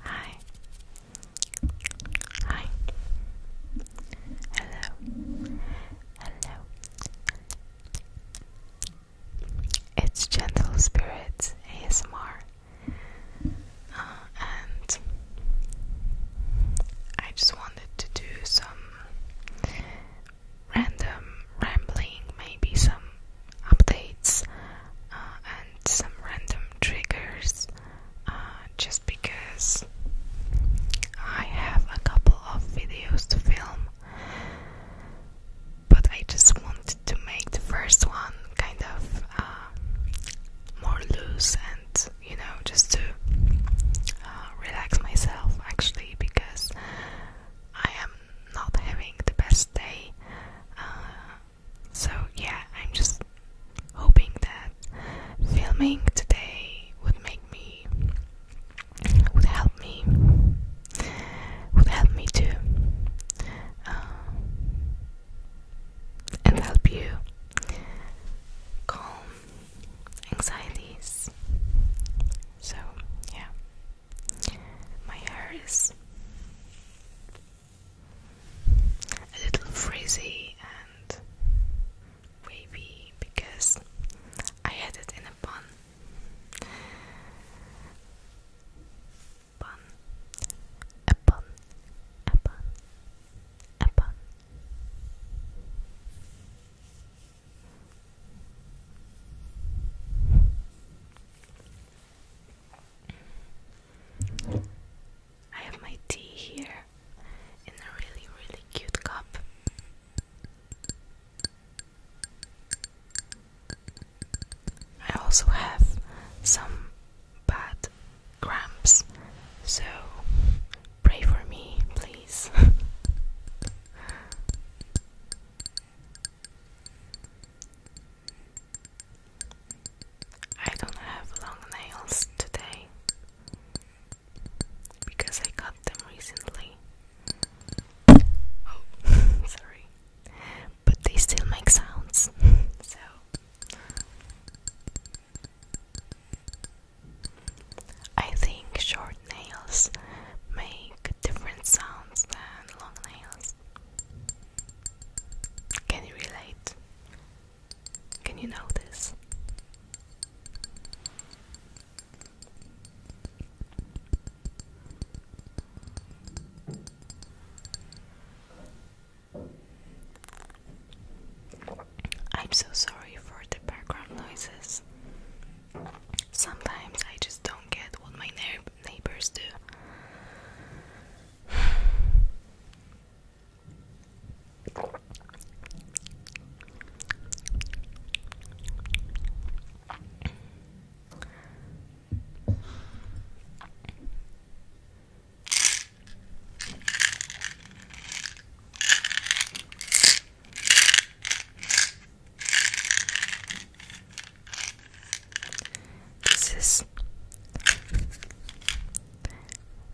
Hi. Hi. Hello. Hello. It's Gentle Spirits ASMR. Uh, and I just wanted to do some random rambling, maybe some updates uh, and some random triggers uh, just because I have a couple of videos to film, but I just wanted to make the first one kind of uh, more loose and you know, just to relax myself actually because I am not having the best day. Uh, so, yeah, I'm just hoping that filming today would make me, would help me, would help me to, uh, and help you calm anxieties. So, yeah. My hair is a little frizzy and wavy because I had it in a bun. Bun, a bun, a bun, a bun. I have my tea here in a really, really cute cup. I also have some bad cramps, so pray for me, please. I don't have long nails today because I got them recently. Oh, sorry. But they still make sounds. so I think short nails make different sounds than long nails. Can you relate? Can you notice? I'm so sorry for the background noises. Sometimes I just don't get what my neighbors do. This is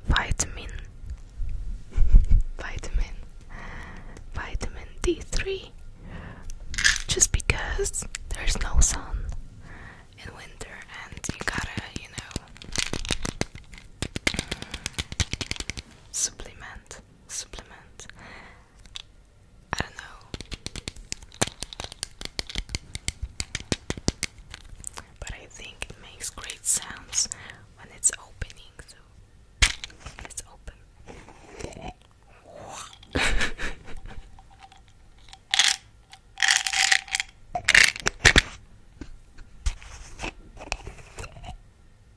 vitamin, vitamin, vitamin D3. Just because there's no sun in winter, and you gotta, you know, supplement, supplement. I don't know. But I think it makes great sounds when it's opening, so let's open.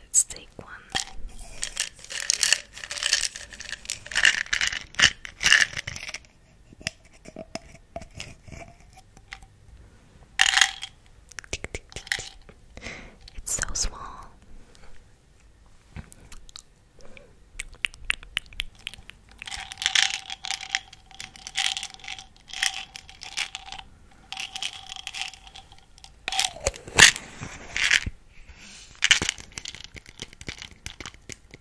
Let's take one. It's so small.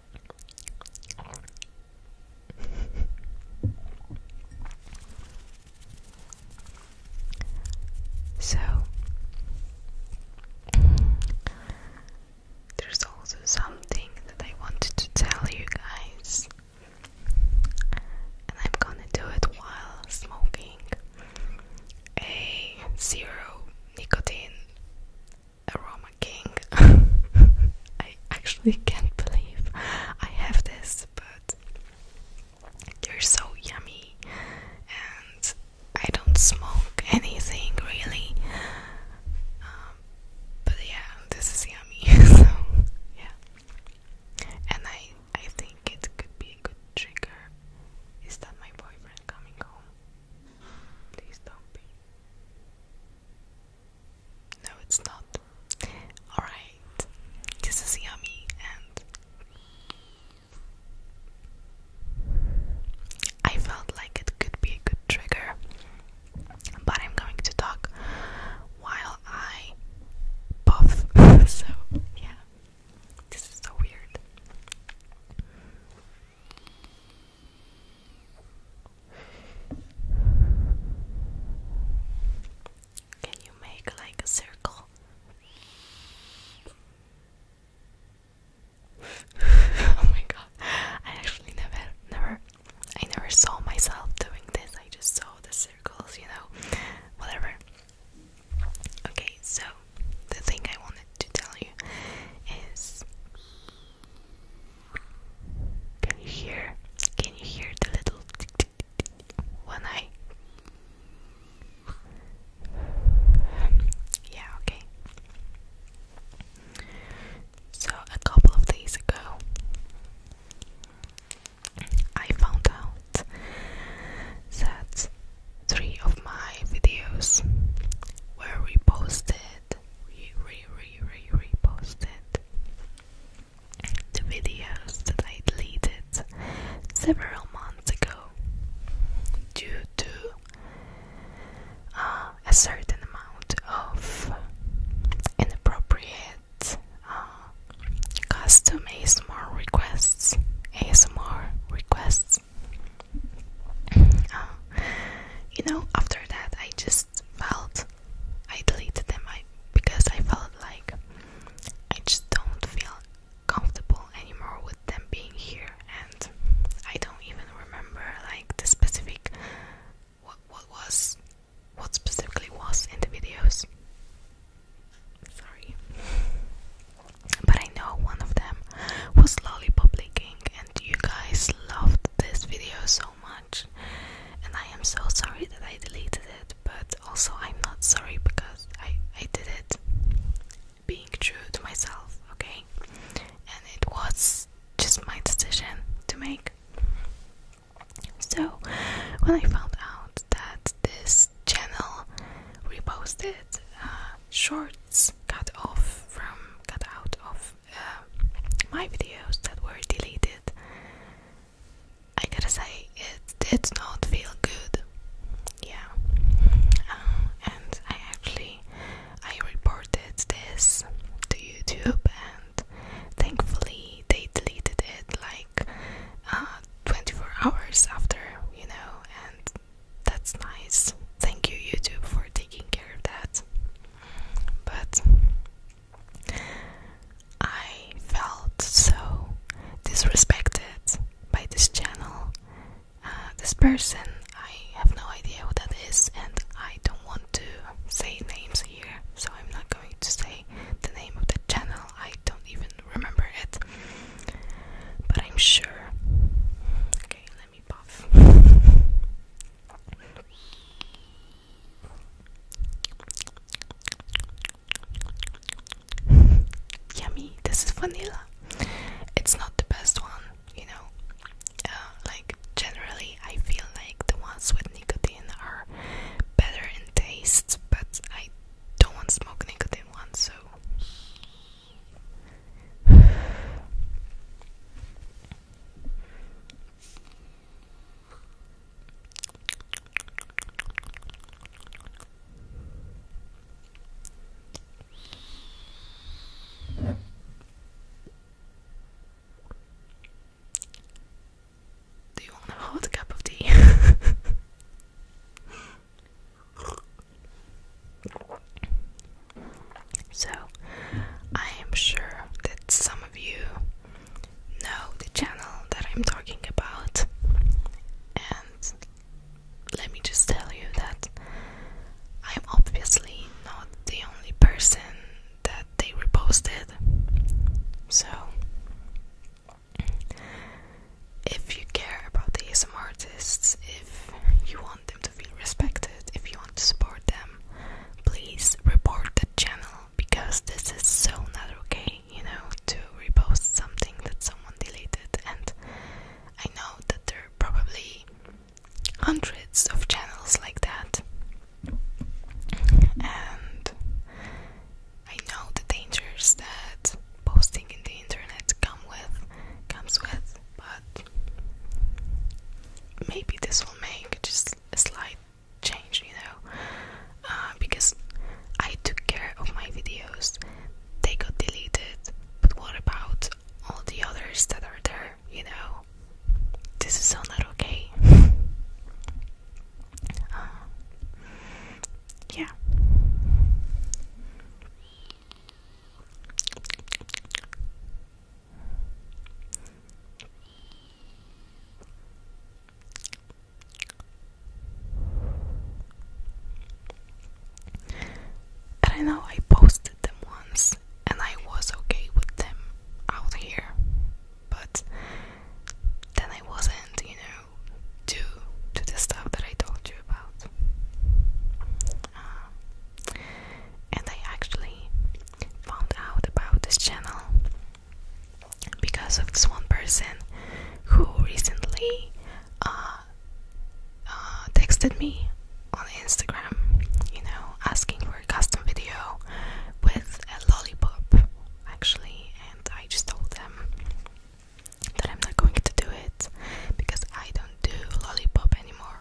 so there's also something that I wanted to tell you guys, and I'm gonna do it while smoking a zero nicotine Aroma King. I actually can't believe I have this, but they're so yummy, and I don't smoke anything really. Um, but yeah, this is yummy. so yeah, and I I think it could be a good trigger. Is that my boyfriend coming home? Please don't be. No, it's not. Alright, this is yummy, and I felt like it could be a good trigger, but I'm going to talk while I puff. so, yeah, this is so weird. Can you make like a circle? oh my god. I actually never never I never saw myself doing this. I just saw the circles, you know. Whatever. Okay, so the thing I wanted to tell you is can you hear? Can you hear the little tick tick tick tick one eye? Yeah, okay. So, a couple of days ago, I found out that three of my videos were reposted re re re reposted the videos that I deleted several months ago due to uh, a certain amount of inappropriate uh, custom ASMR requests. ASMR requests. Uh, you know, after that, I just felt I deleted them I, because I felt like I just don't feel comfortable anymore with them being here and I don't even remember like the specific what what was what specifically was in the videos sorry but I know one of them was lollipop leaking and you guys loved this video so so much, and I am so sorry that I deleted it, but also I'm not sorry because I, I did it being true to myself, okay? And it was just my decision to make. So, when I found out that this channel reposted uh, shorts cut off from cut out of um, my videos that were deleted, I gotta say it did not feel good. Yeah, uh, and I actually I reported this to YouTube, and thankfully they deleted it like uh, 24 hours after, you know, and that's nice. Thank you, YouTube, for taking care of that but I felt so disrespected by this channel, uh, this person. I have no idea what that is, and I don't want to say names here, so I'm not going to say the name of the channel. I don't even remember it, but I'm sure. Okay, Yummy, this is vanilla. It's not the best one, you know. Uh, like, generally, I feel like the ones with nicotine are better in taste, but I don't want to smoke nicotine ones, so. Do you want a hot cup of tea? So, I am sure that some of you know the channel that I'm talking about, and let me just tell you that I'm obviously not the only person that they reposted. So, if you care about these artists, if you want them to feel respected. If you want to support them, please report the channel because this is so not okay, you know, to repost something that someone deleted. And I know that there are probably hundreds of channels like that. And I know the dangers that posting in the internet come with comes with, maybe this will make just a slight change, you know, uh, because I took care of my videos, they got deleted, but what about all the others that are there, you know? This is so not okay. Uh, yeah. And I know I posted them once and I was okay with them out here, but then I wasn't, you know, due to the stuff that I told you about. Uh, and I actually found out about this channel because of this one person who recently uh, uh, texted me on Instagram, you know, asking for a custom video with a lollipop actually, and I just told them that I'm not going to do it because I don't do lollipop anymore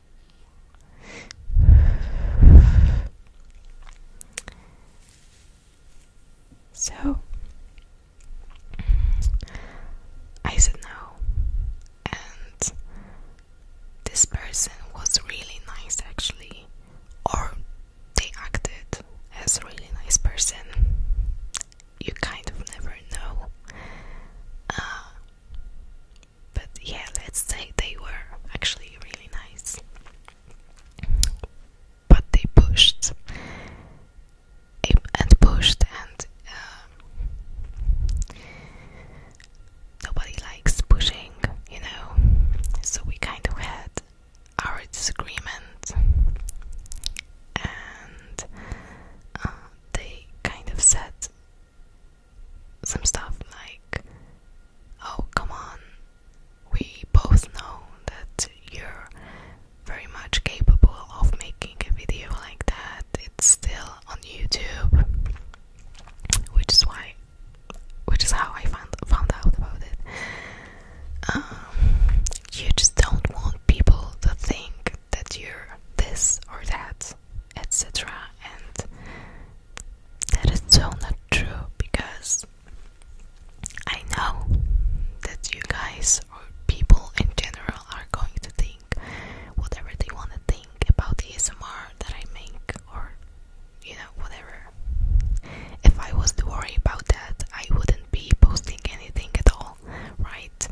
So I said no, and this person was really nice actually, or they acted as a really nice person. You kind of never know. Uh, but yeah, let's say they were actually really nice. But they pushed and pushed, and um, nobody likes pushing, you know. So we kind of had our disagreement, and uh, they kind of said some stuff like, oh, come on, we both know that you're very much capable of making a video like that, it's still on YouTube, which is why, which is how I found, found out about it. Um, you just don't want people to think that you're this or that etc. And that is so not true because I know that you guys or people in general are going to think whatever they want to think about the ASMR that I make or you know, whatever. If I was to worry about that, I wouldn't be posting anything at all, right?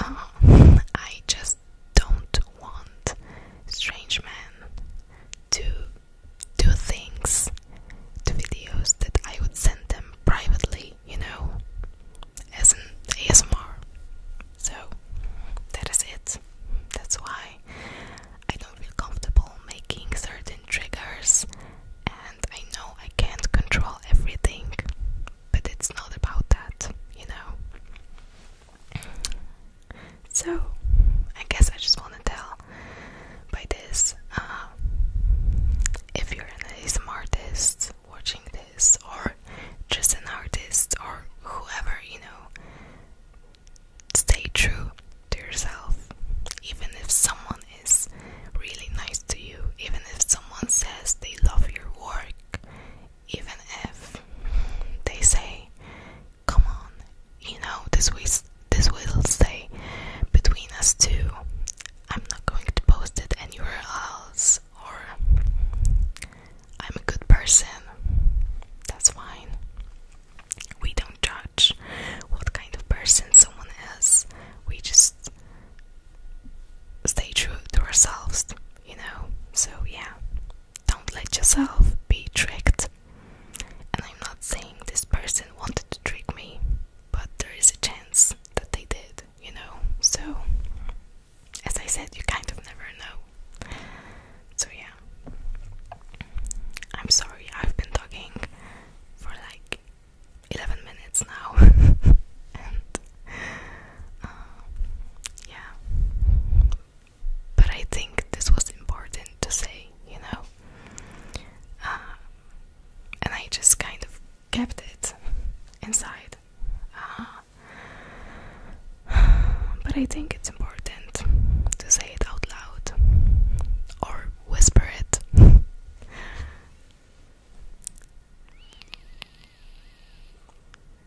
Uh, I just don't want strange men to do things to videos that I would send them privately, you know, as an ASMR. So that is it. That's why I don't feel comfortable making certain triggers, and I know I can't control everything, but it's not about that, you know. So, I guess I just want to tell by this um, if you're an artist watching this, or just an artist, or whoever, you know, stay true to yourself. Even if someone is really nice to you, even if someone says they love your work, even if they say, "Come on, you know this will this will stay between us two. I'm not going to post it anywhere else." Or, "I'm a good person." That's fine. We don't judge what kind of person someone is. We just stay true to ourselves you know. So, yeah, don't let yourself be tricked. And I'm not saying this person wanted to trick me, but there is a chance that they did, you know. So, as I said, you kind of never know. So, yeah, I'm sorry, I've been talking for like 11 minutes now, Um, yeah. But I think this was important to say, you know? Uh, and I just kind of kept it inside. Uh, but I think it's important to say it out loud or whisper it.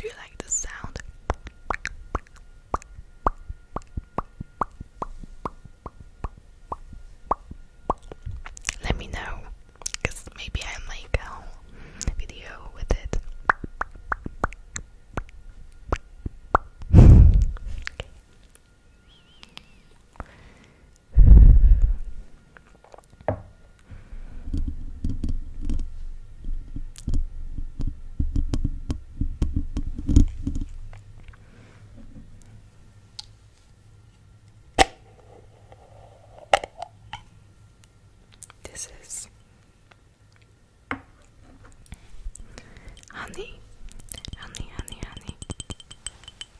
Do you like the sound? Let me know, cause maybe I make a video with it. This is honey, honey, honey, honey.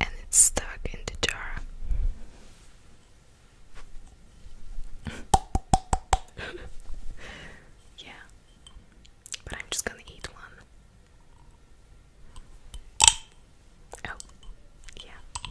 and it's stuck in the jar. yeah, but I'm just gonna eat one. Oh, yeah.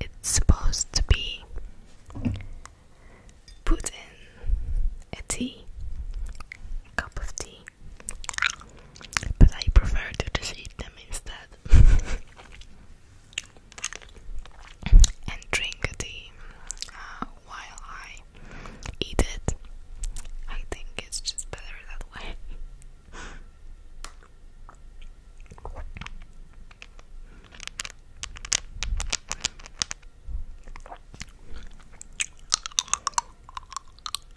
It's supposed to be put in a tea, cup of tea. But I prefer to just eat them instead. and drink tea uh, while I eat it. I think it's just better that way.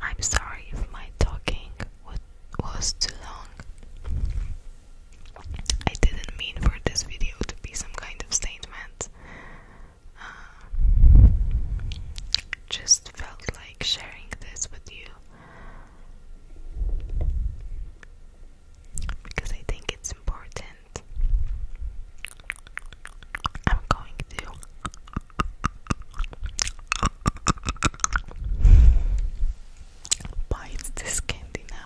I'm sorry if my talking was too long. I didn't mean for this video to be some kind of statement. Uh, just felt like sharing this with you because I think it's important. I'm going to. Bite this candy now.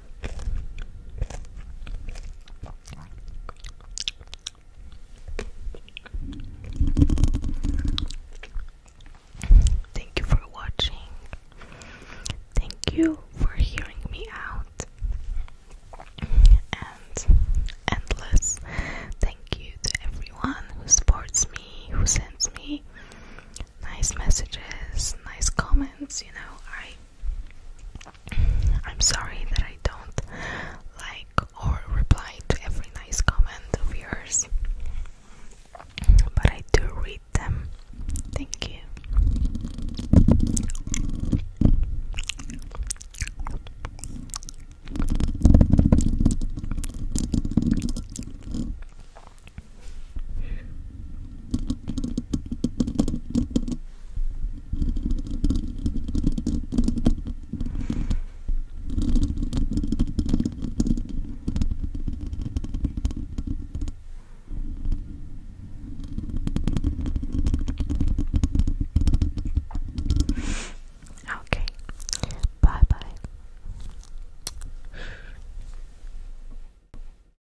Thank you for watching. Thank you for hearing me out. And endless thank you to everyone who supports me, who sends me nice messages, nice comments. You know, I I'm sorry that I don't like or reply to every nice comment of yours, but I do read them. Thank you. Okay. Bye bye.